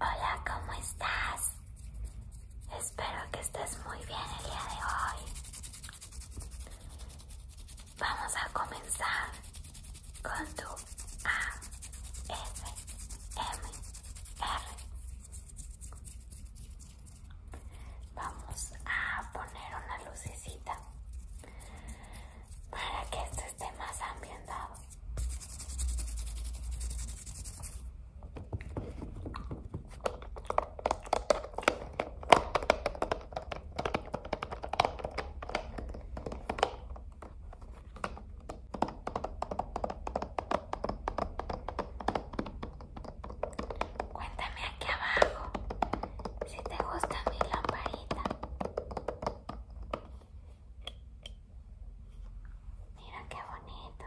Hola, ¿cómo estás? Espero que estés muy bien el día de hoy. Vamos a comenzar con tu A, F, M, R. Vamos a poner una lucecita para que estés esté más ambientado. Cuéntame aquí abajo si te gusta mi lamparita. Mira qué bonito.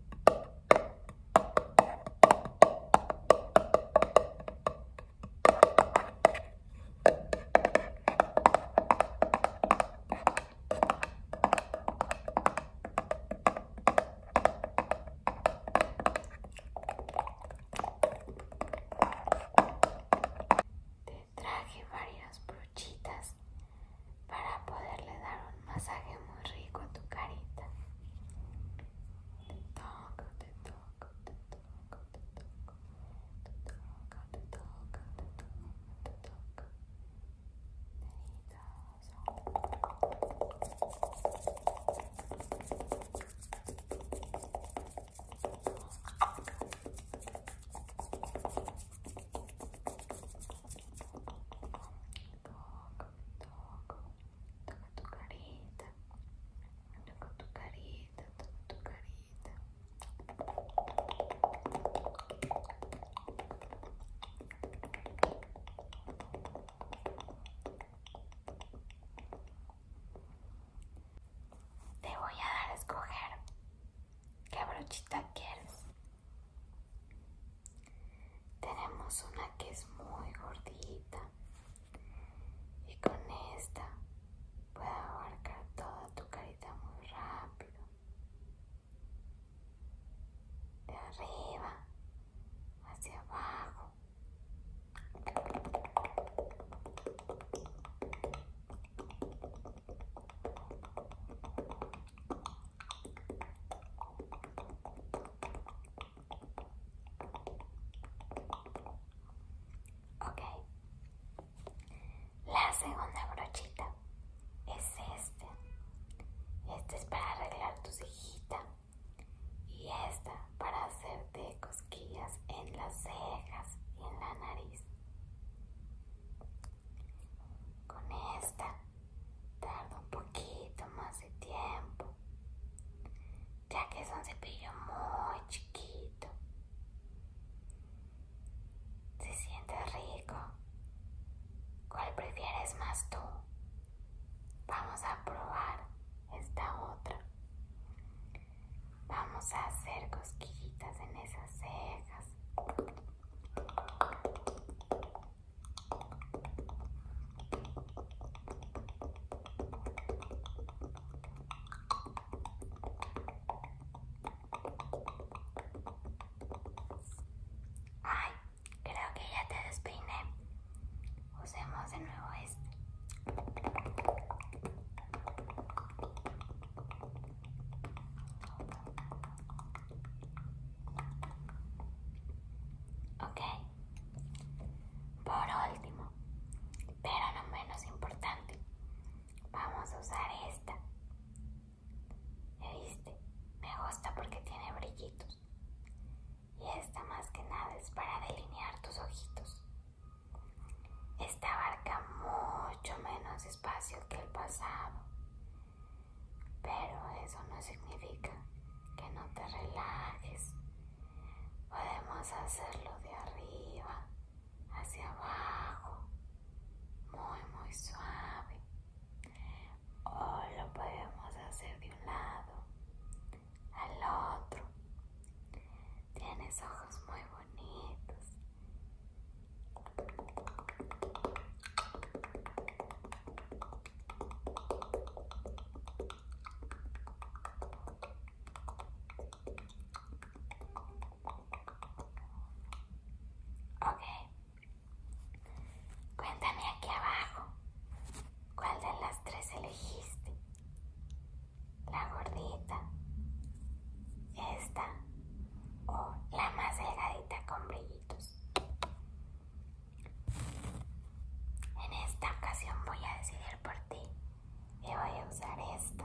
Te traje varias brochitas para poderle dar un masaje muy rico a tu carita. Te toco, te toco, te toco, te toco, te te toca tu carita, toca tu carita, toca tu carita. Te voy a dar a escoger qué brochita quieres. Tenemos una que es muy gordita y con esta puede abarcar toda tu carita muy rápido. De arriba hacia abajo. Ok, la segunda brochita es este Este es para arreglar tu cejita y esta para hacerte cosquillas en las cejas y en la nariz. Con esta tarda un poquito más de tiempo, ya que es un cepillo muy chiquito. ¿Se siente rico? ¿Cuál prefieres más tú? Vamos a probar esta otra. Vamos a hacer cosquillitas en esas cejas. Ay, creo que ya te despine. Usemos de nuevo este. Ok. Por último, pero no menos importante, vamos a usar esta. viste? Me gusta porque tiene brillitos. Y esta más que nada es para delinear tus ojitos. Esta abarca mucho menos espacio que el pasado, pero eso no significa que no te relajes. Podemos hacerlo de arriba hacia abajo, muy muy suave, o lo podemos hacer de un lado al otro Tienes ojos muy bonitos. Okay. cuéntame aquí abajo, ¿cuál de las tres elegiste? la gordita, esta o la más delgadita con brillitos. En esta ocasión voy a decidir por ti y voy a usar esta.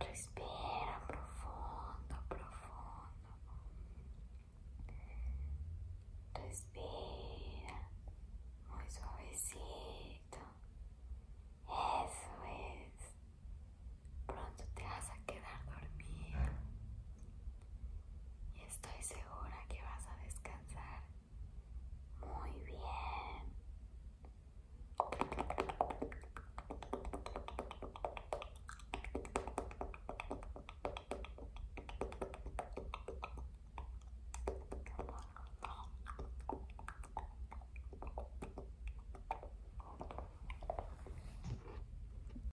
Respira profundo, profundo. Respira muito suavecito. Isso, isso. Pronto, te vas a quedar dormido. y estoy segura que vas a descansar muy bien.